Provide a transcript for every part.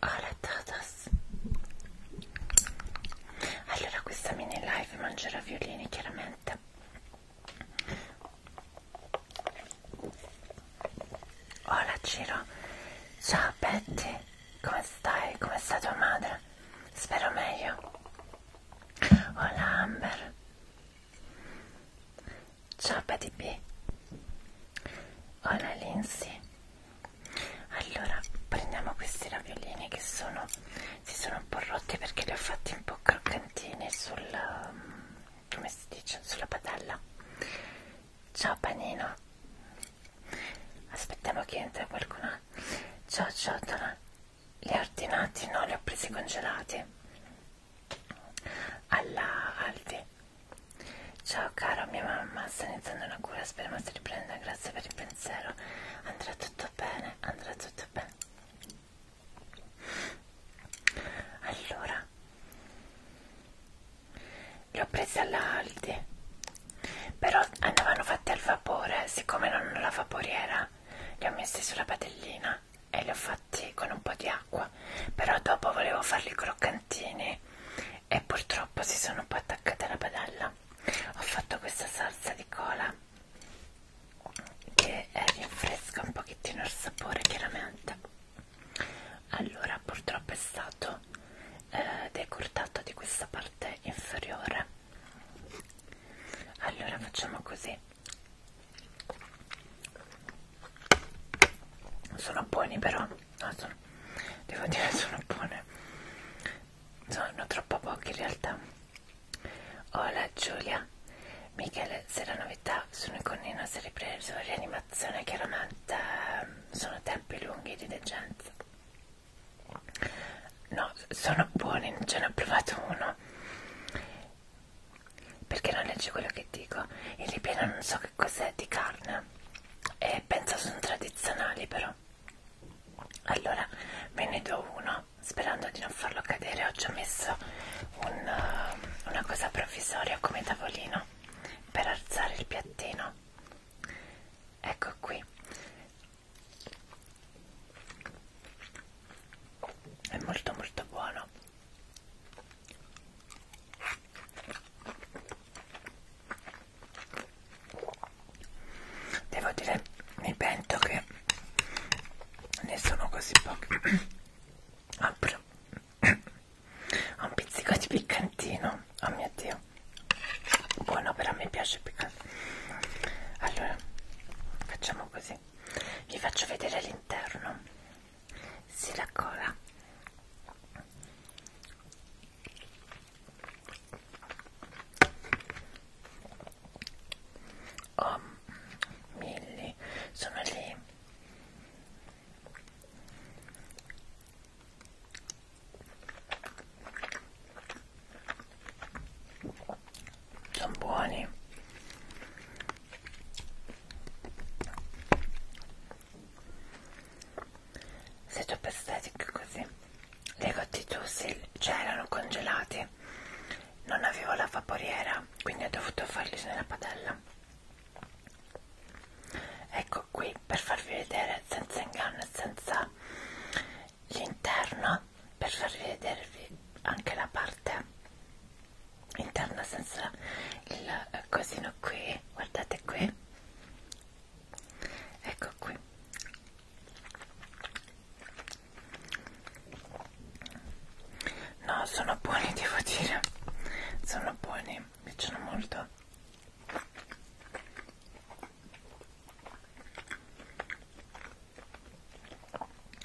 Hola tatas Allora questa mini live mangerà violini chiaramente Hola Ciro Ciao Betty Come stai? Come sta tua madre? Spero meglio Hola Amber Ciao P Hola Lindsay Allora prendiamo questi raviolini che sono si sono un po' rotti perché li ho fatti un po' croccantini sul um, come si dice sulla padella Ciao panino Aspettiamo che entra qualcuno Ciao ciotola Li ho ordinati? No, li ho presi congelati alla Aldi ciao caro mia mamma sta iniziando una cura speriamo si riprenda grazie per il pensiero andrà tutto bene andrà tutto bene allora li ho presi alla Aldi però andavano fatte al vapore siccome non ho la vaporiera li ho messi sulla padellina e li ho fatti con un po' di acqua però dopo volevo farli croccantini e purtroppo si sono un po' attaccate alla padella ho fatto questa salsa di cola che rinfresca un pochettino il sapore chiaramente allora purtroppo è stato eh, decurtato di questa parte inferiore allora facciamo così sono buoni però no, sono, devo dire sono buone sono troppo pochi in realtà hola Giulia Michele se la novità sono il connino si è ripreso rianimazione chiaramente sono tempi lunghi di degenza no sono buoni ce ne ho provato uno perché non leggi quello che dico il ripieno non so che cos'è di carne e penso sono tradizionali però allora me ne do uno sperando di non farlo cadere oggi ho messo un, eh, una cosa provvisoria come tavolino per alzare il piattino ecco qui è molto molto buono Devo dire, mi pento che ne sono così pochi. Ah, un pizzico di piccantino. Oh mio dio, buono, però mi piace piccante. Allora, facciamo così: vi faccio vedere l'interno si la cola oh Milly sono lì sono buoni se top aesthetic così le gotti c'erano cioè, congelati non avevo la vaporiera quindi ho dovuto farli nella padella ecco qui per farvi vedere senza inganno e senza l'interno per farvi vedere anche la parte interno senza il eh, cosino qui guardate qui ecco qui no sono buoni devo dire sono buoni mi piacciono molto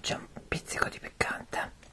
c'è un pizzico di piccante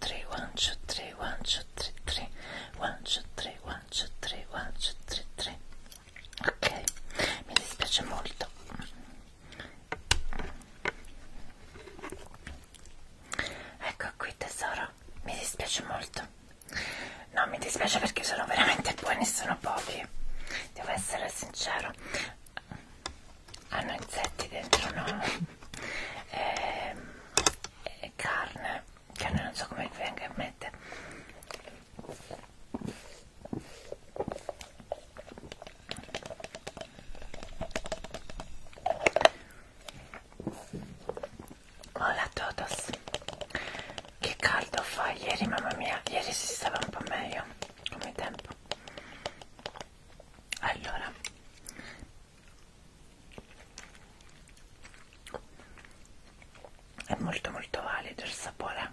two, three, one, two, three, one, two, three, three, one, two, three, one, two, three, one, two, three, three. Ok, mi dispiace molto. Ecco qui tesoro, mi dispiace molto. No, mi dispiace perché sono veramente buoni, sono pochi. Devo essere sincero. Hanno insetti dentro, no? Ehm e carne che non so come venga in mente Hola a todos Che caldo fa ieri mamma mia Ieri si stava un po' meglio Come tempo Allora è molto molto valido il sapore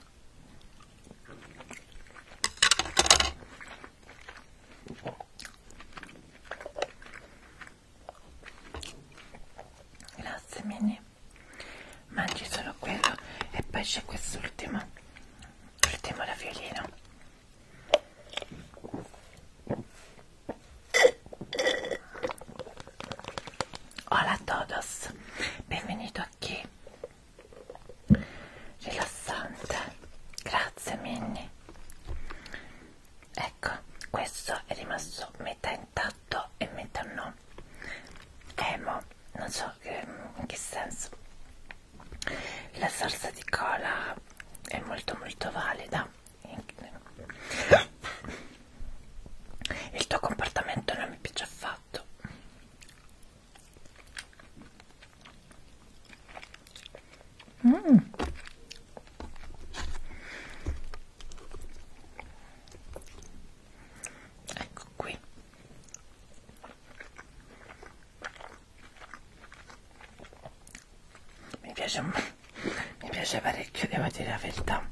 grazie Mini mangi solo quello e poi c'è quest'ultimo l'ultimo raviolino Hola a todos, benvenuto a chi? Rilassante, grazie Minnie. Ecco, questo è rimasto metà intatto e metà no. Emo, non so che, ehm, in che senso. La salsa di cola è molto molto valida il tuo comportamento non mi piace affatto mm. ecco qui mi piace, mi piace parecchio, devo dire la verità.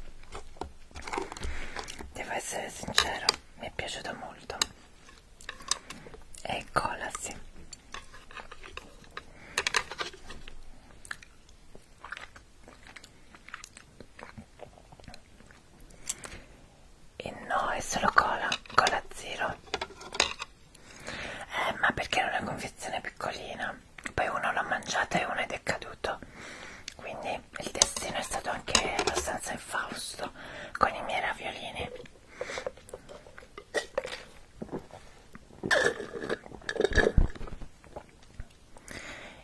Devo essere sincero, mi è piaciuto molto. E cola, sì. E no, è solo cola, cola zero eh, ma perché era una confezione piccolina poi uno l'ha mangiata e uno ed è caduto quindi il destino è stato anche abbastanza infausto con i miei raviolini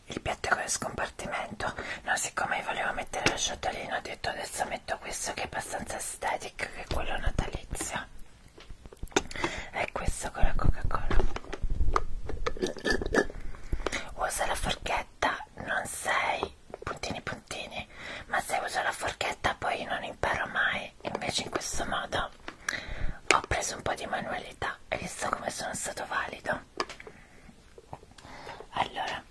il piatto è con scompartimento no siccome volevo mettere la ciotolina ho detto adesso metto questo che è abbastanza estetico che è quello natalizio è questo con la coca cola usa la forchetta non sei puntini puntini ma se uso la forchetta poi non imparo mai invece in questo modo ho preso un po' di manualità hai visto come sono stato valido allora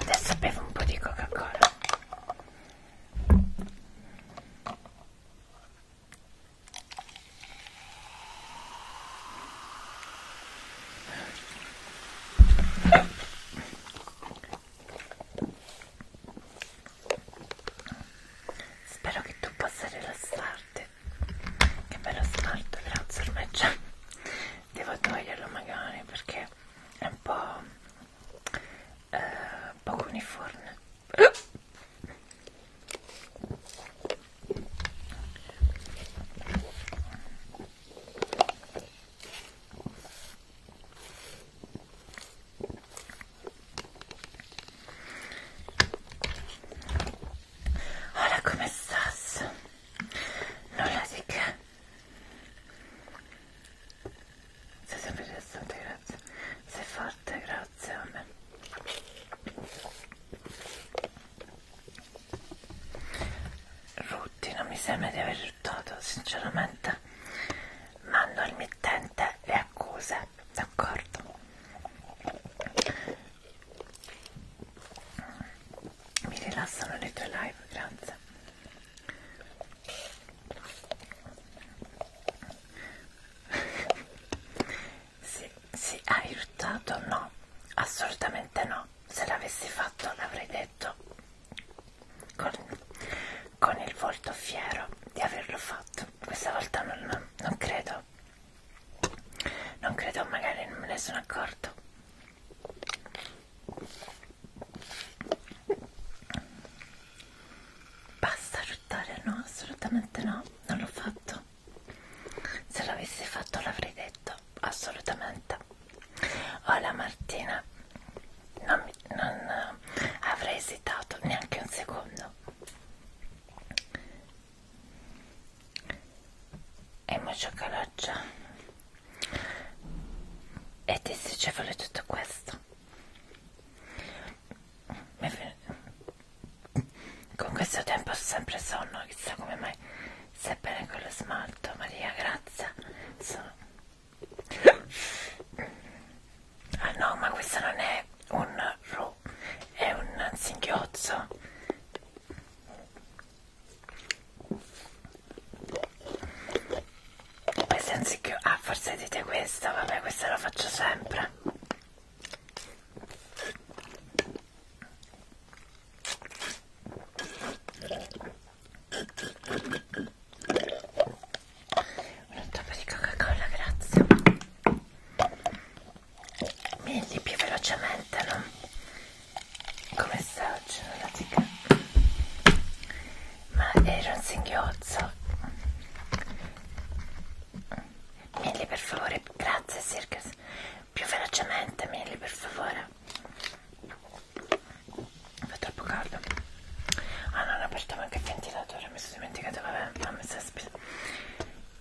Adesso bevo un po' di Coca-Cola. Spero che tu possa rilassarti. Che bello smalto, grazie ormai già devo toglierlo magari perché è un po' eh, poco uniforme Hola, come stas? Nulla di che sei sempre interessante, grazie. Sei forte, grazie a me. Ruttina, mi sembra di aver ruttato, sinceramente. Mando al mittente le accuse, d'accordo? mi rilassano le tue live, grazie. sì, sì, hai aiutato? No, assolutamente no. Se l'avessi fatto l'avrei detto con, con il volto fiero di averlo fatto. Questa volta non, non credo. Non credo, magari non me ne sono accorto. Basta ruttare, no, assolutamente no, non l'ho fatto. Se l'avessi fatto l'avrei detto, assolutamente. Hola oh, Martina, non, mi, non eh, avrei esitato neanche un secondo. Hemos sacado la e ti dicevo tutto questo con questo tempo ho sempre sonno chissà come mai stai bene con lo smalto Maria grazie sono... ah no ma questo non è un ru è un singhiozzo questa anziché... Ah, forse dite questa, vabbè, questa la faccio sempre. Un tappo di Coca-Cola, grazie. Milli più velocemente, no? come sta oggi la zica ma era un singhiozzo Milly per favore grazie Circus più velocemente Milly per favore fa troppo caldo ah non ho aperto manca il ventilatore mi sono dimenticato vabbè non mi sono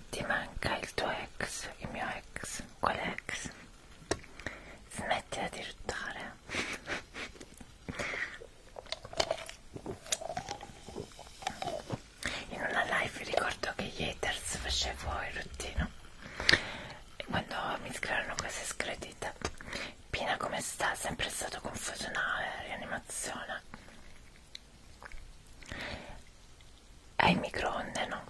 ti manca il tuo ex il mio ex quale ex smettila di ruttare in una live ricordo che gli haters facevo il ruttino e quando mi screarono queste scredite Pina come sta? sempre stato confusionale, rianimazione ai microonde no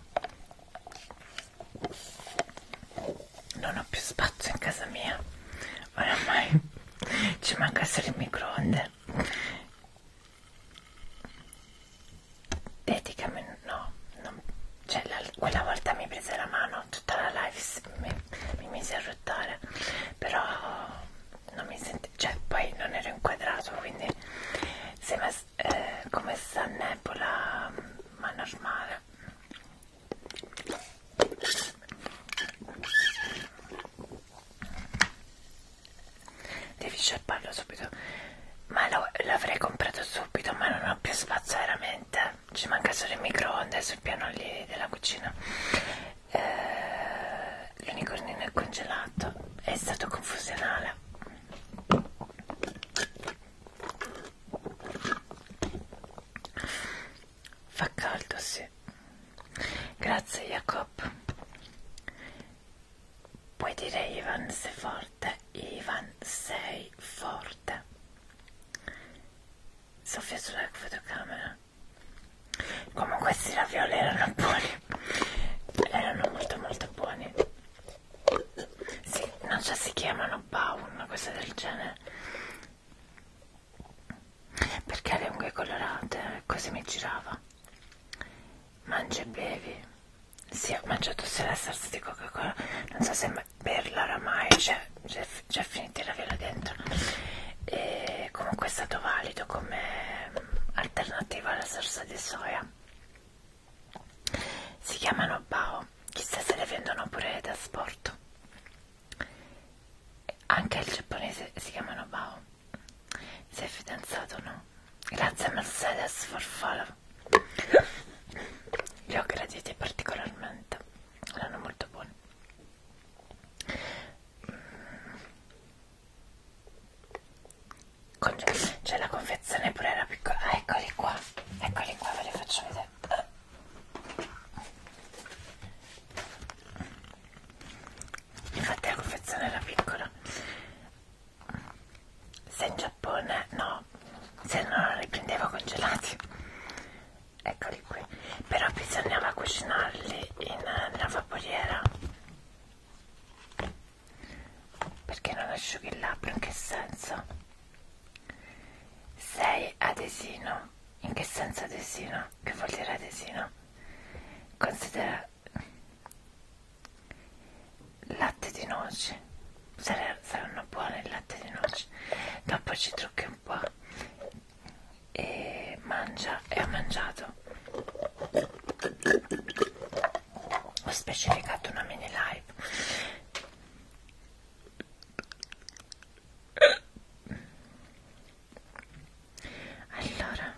non ho più spazio in casa mia oramai ci manca solo il microonde dedicami no non, cioè la, quella volta mi prese la mano tutta la live mi, mi mise a ruttare però non mi sentivo cioè poi non ero inquadrato quindi se, eh, come sta nebbula ma normale devi sciapparlo subito ma l'avrei comprato subito ma non ho più spazio veramente ci manca solo il microonde sul piano lì della cucina eh, l'unicornino è congelato è stato confusionale Fa caldo, sì. Grazie, Jacob. Puoi dire Ivan sei forte. Ivan sei forte. Sofia sulla fotocamera. Comunque questi ravioli erano buoni. Erano molto molto buoni. Sì, non so, si chiamano Baun, cose del genere. Perché le unghie colorate, così mi girava. Mangia e bevi. Sì, ho mangiato sia la salsa di Coca-Cola, non so se berla oramai, c'è cioè, cioè, finita la vela dentro. E comunque è stato valido come alternativa alla salsa di soia si chiamano Bao chissà se le vendono pure da sport anche il giapponese si chiamano Bao sei fidanzato no? grazie Mercedes for follow li ho graditi particolarmente erano molto buoni c'è la confezione pure era piccola ah, eccoli qua eccoli qua ve li faccio vedere infatti la confezione era piccola se in Giappone no se no li prendevo congelati eccoli qui però bisognava cucinarli in, nella vaporiera perché non asciughi il labbro? In che senso? Sei adesino. In che senso adesino? Che vuol dire adesino? Considera latte di noci. Saranno buone il latte di noci. Dopo ci trucchi un po' e mangia e ho mangiato ho specificato una mini live allora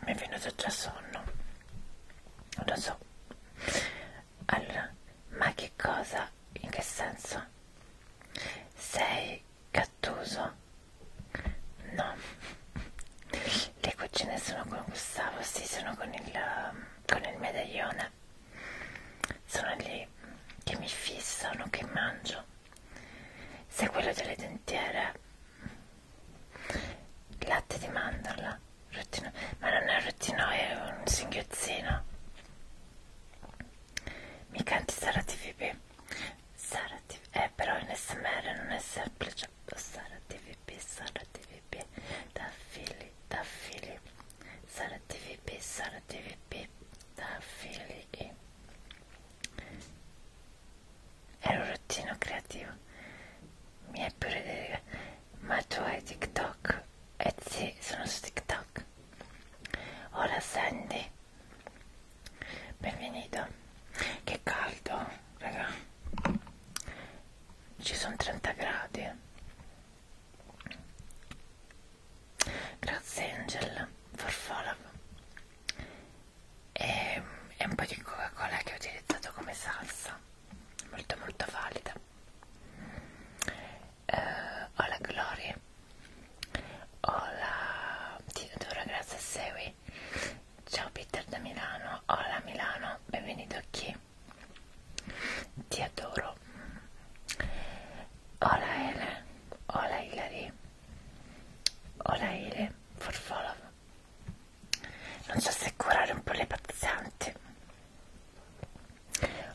mi è venuto già sonno lo so allora ma che cosa in che senso sei cattuso no le cucine sono con Gustavo sì sono con il, con il medaglione sono lì che mi fissano che mangio se quello delle dentiere latte di mandorla rottino. ma non è rottino è un singhiozzino mi canti Sara TVB Sara TV eh però in smr non è semplice Sara TVP, Sara TVP, da Fili, da Fili, Sara TVP, Sara TVP, da Fili e... Era un rottino creativo. Mi è pure dire, ma tu hai TikTok? Eh sì, sono su TikTok. Ora Sandy. Benvenuto. Che caldo, raga ci sono 30 gradi grazie Angel for follow e, e un po' di coca cola che ho utilizzato come salsa molto molto valida uh, ho la gloria ho la ti devo grazie a Sewi Ciao Peter da Milano, hola Milano, benvenuto qui. Ti adoro. Hola Ele, hola Hilary, hola Ele, for follow. Non so se curare un po' le pazzanti.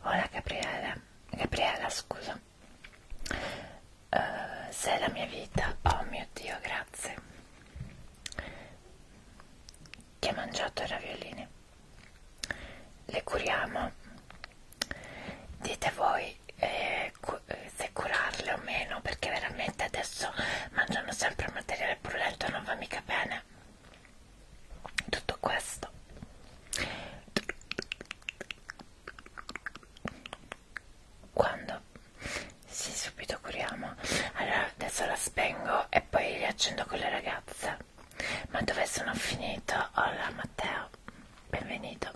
Hola Gabriela, Gabriela scusa. Uh, sei la mia vita, oh mio Dio, grazie che ha mangiato i raviolini le curiamo dite voi eh, cu eh, se curarle o meno perché veramente adesso mangiano sempre materiale brulento non va mica bene tutto questo quando sì, subito curiamo. Allora adesso la spengo e poi riaccendo con le ragazze. Ma dove sono finito? Hola Matteo, benvenuto.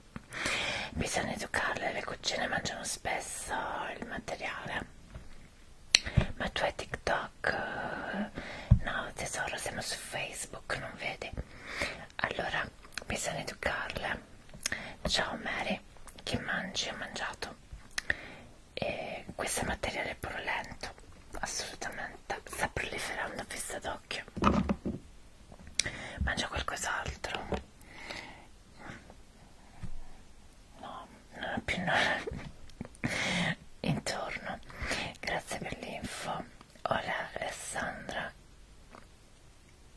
Bisogna educarle, le cucine mangiano spesso il materiale. Ma tu hai TikTok? No, tesoro, siamo su Facebook, non vedi? Allora, bisogna educarle. Ciao Mary, chi mangi ha mangiato? e questo è materiale purulento assolutamente sta proliferando a vista d'occhio mangia qualcos'altro no non ho più nulla intorno grazie per l'info ora Alessandra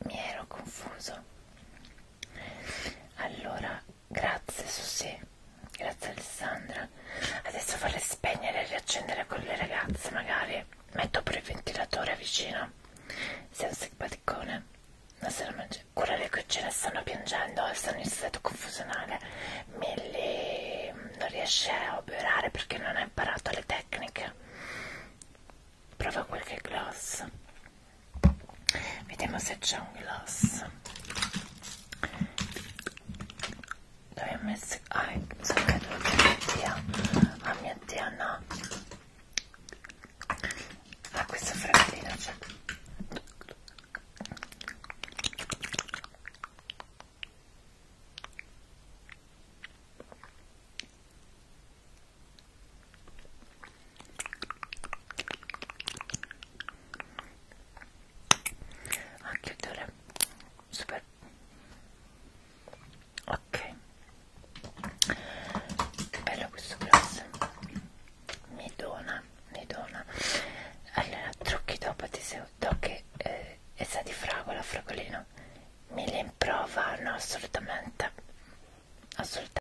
mi ero confuso allora Grazie Susi, grazie Alessandra. Adesso farle spegnere e riaccendere con le ragazze, magari. Metto pure il ventilatore vicino. Sei un simpaticone. Non se lo mangi. Cura le cucine stanno piangendo e stanno in stato confusionale. Milly non riesce a operare perché non ha imparato le tecniche. Prova qualche gloss vediamo se c'è un gloss dove ho messo ah so che dove a mia zia a mia zia no ah questa frattina c'è cioè a chiudere super ok che bello questo glass mi dona mi dona allora trucchi dopo ti se do che eh, è sa di fragola fragolino mi le improva no assolutamente assolutamente